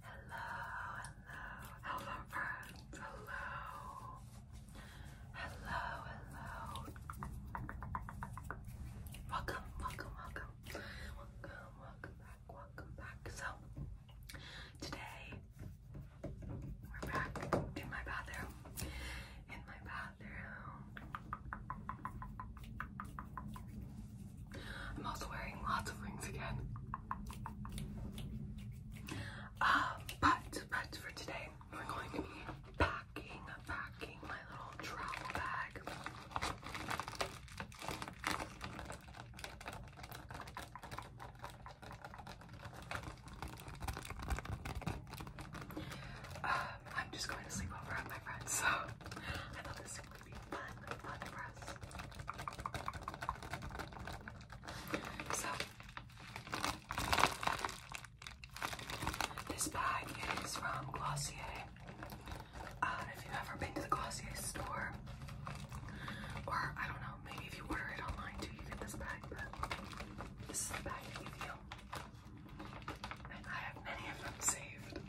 Hello, hello, hello friends, hello. Hello, hello. Welcome, welcome, welcome. Welcome, welcome back, welcome back. So, today we're back in my bathroom. In my bathroom. I'm also wearing lots of rings again. Um, but, but for today, we're going to be packing, packing my little travel bag. Um, I'm just going to sleep over at my friend's, So, this bag is from Glossier. Uh, if you've ever been to the Glossier store, or I don't know, maybe if you order it online too, you get this bag, but this is the bag I you. And I have many of them saved.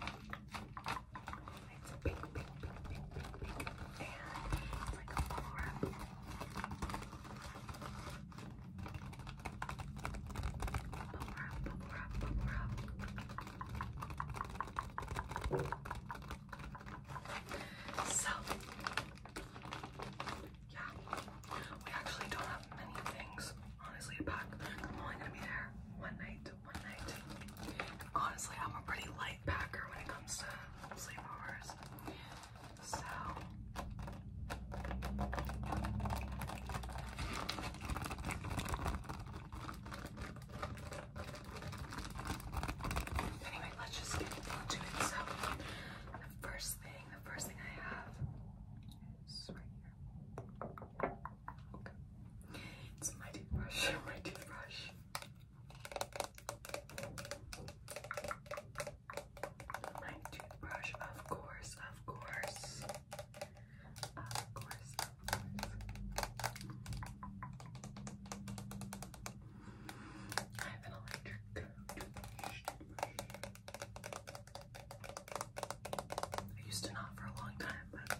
It's a pink, pink, pink, pink, pink, pink, and it's like a bubble wrap. Bubble wrap, bubble wrap, bubble wrap. So, yeah, we actually don't have many things, honestly, to pack. I'm only gonna be there one night. Honestly, I'm a pretty light packer when it comes to sleepovers. So anyway, let's just get into it. So the first thing, the first thing I have is right here. It's my toothbrush, my toothbrush. My toothbrush, of course, of course. Of course, of course. I have an electric toothbrush. I used to not for a long time, but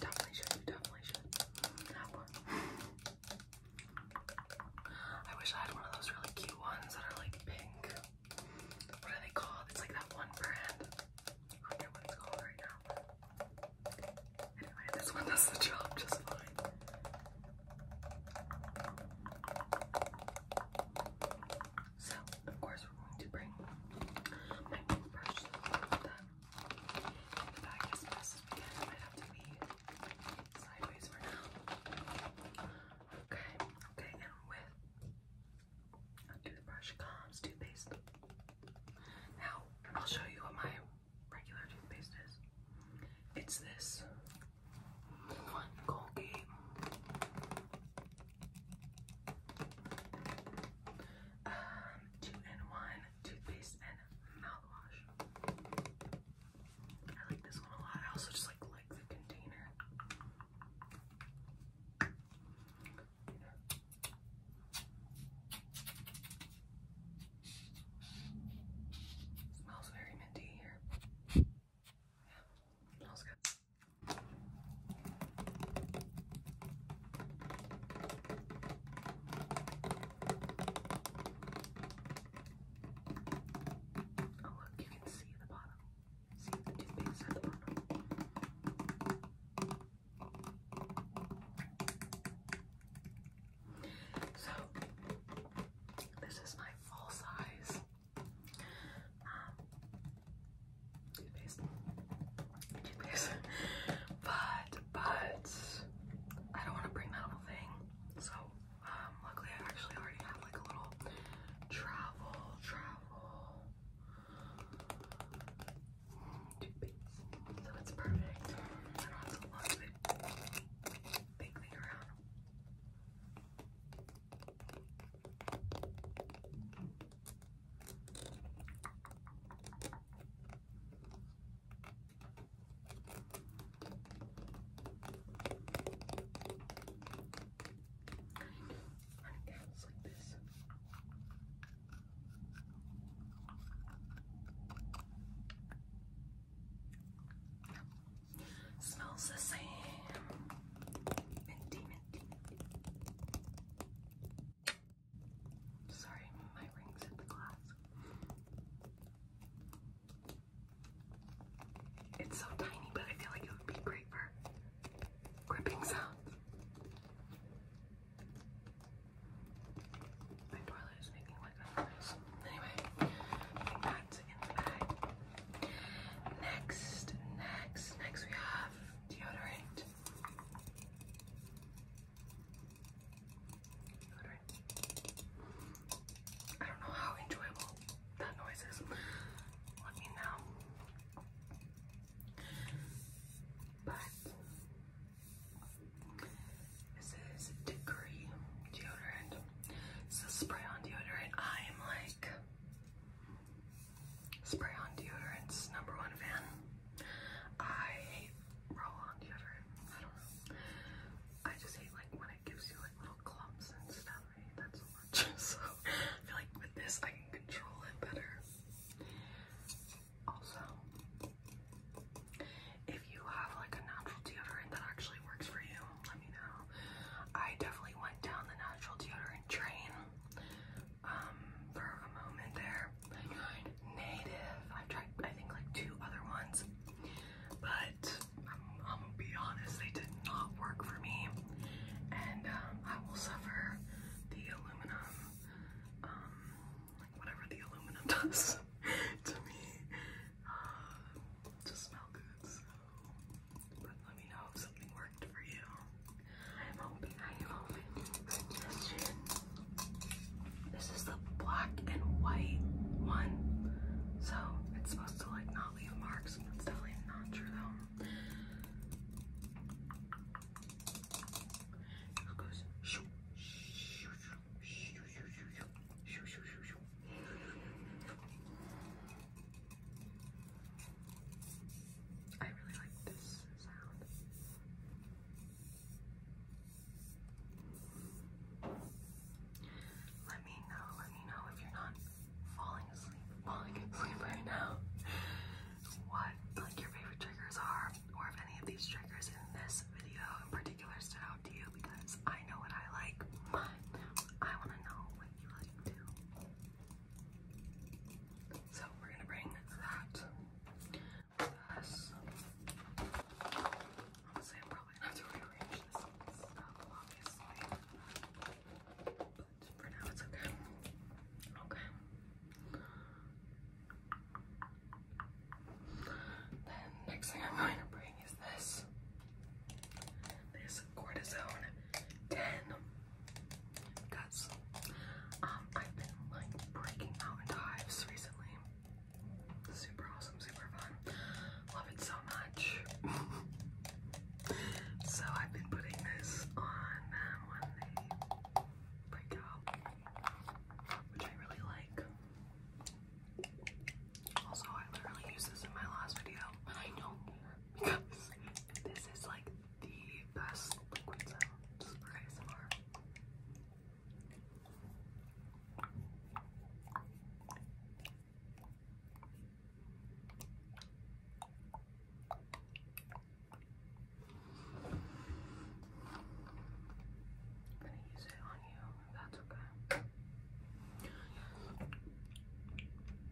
definitely should. definitely should have one. I wish I had one of those really cute ones that are like pink. What are they called? It's like that one brand. I forget what it's called right now. Anyway, this one does the job just fine. So, of course, we're going to bring my toothbrush so the bag as best as we can. It might have to be sideways for now. Okay, okay, and with toothbrush comes toothpaste. Now, I'll show you what my regular toothpaste is. It's this one Colgate um, two in one toothpaste and mouthwash. I like this one a lot. I also just like like the container. smells very minty here. smells good. Oh look, you can see the bottom. See the toothpaste at the bottom. So this is my full size. Um, toothpaste, toothpaste. but but I don't want to bring that whole thing. So um, luckily I actually already have like a little travel travel toothpaste, so it's perfect. I don't have to lug the big thing around. Smells the same. Minty, minty, Sorry, my rings hit the glass. It's so tiny, but I feel like it would be great for gripping sounds. My toilet is making like a noise. Anyway, that's in the bag. Next, next, next we have deodorant. I don't know how enjoyable that noise is. Let me know. But this is degree deodorant. It's a spray on deodorant. I am like Spray on deodorant, number one fan. I hate roll-on deodorant. I just hate like when it gives you like little clumps and stuff. That's hate that so much. so I feel like with this I can control it better. Also, if you have like a natural deodorant that actually works for you, let me know. I definitely went down the natural deodorant train. Um, for a moment there. Native. i tried, I think, like two other ones, but I'm, um, gonna be honest, they did not work for me, and um, I will suffer the aluminum, um, whatever the aluminum does to me, uh, to smell good. So, but let me know if something works for you. I'm hoping, I'm hoping This is the black and white one. So it's supposed to like not leave marks. That's definitely not true though. It goes shoo shoo shoo shoo shoo shoo shoo shoo shoo shoo I really like this sound. Let me know, let me know if you're not falling asleep, falling asleep right now. What like your favorite triggers are, or if any of these triggers in this video in particular stood out to you because I know what I like, I want to know what you like too. So we're gonna bring that with us. Honestly, I'm probably going to rearrange this stuff, obviously. But for now, it's okay. Okay. Then next thing I'm going to bring is this. This cortisone 10 because um, I've been like breaking out into hives recently. Super awesome, super fun. Love it so much. so I've been putting this on them um, when they break out, which I really like. Also, I literally used this in my last video, I do because this is like the best liquid sounds for ASMR. I'm gonna use it on you, that's okay.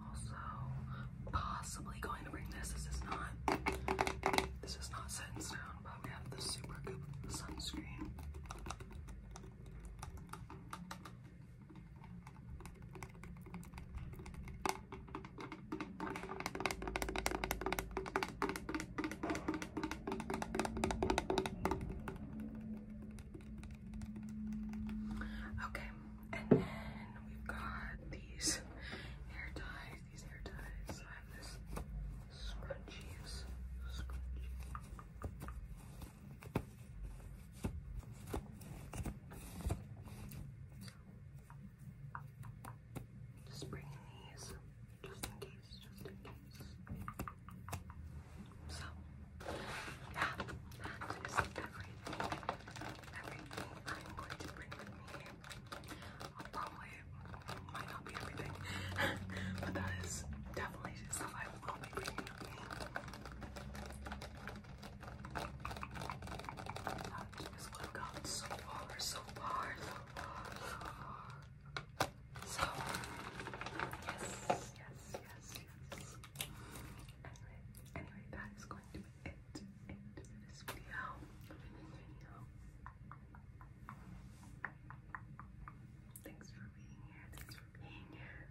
also possibly going to bring this. This is not this is not set in stone, but we have the super goop sunscreen. Okay, and then we've got these hair ties. These hair ties. So I have this scrunchies. Scrunchie. Just bringing these, just in case, just in case. So, yeah, that is everything. Everything I'm going to bring with me I probably might not be everything, but that is definitely stuff I will be bringing with me. have gotten so far, so far, so far. So, yes, yes, yes, yes. Anyway, anyway, that is going to it into this this video. Thanks for being here. Thanks for being here.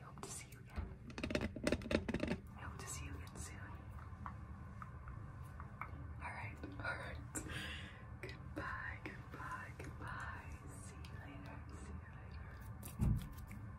I hope to see you again. I hope to see you again soon. Alright, alright. Goodbye, goodbye, goodbye. See you later. See you later.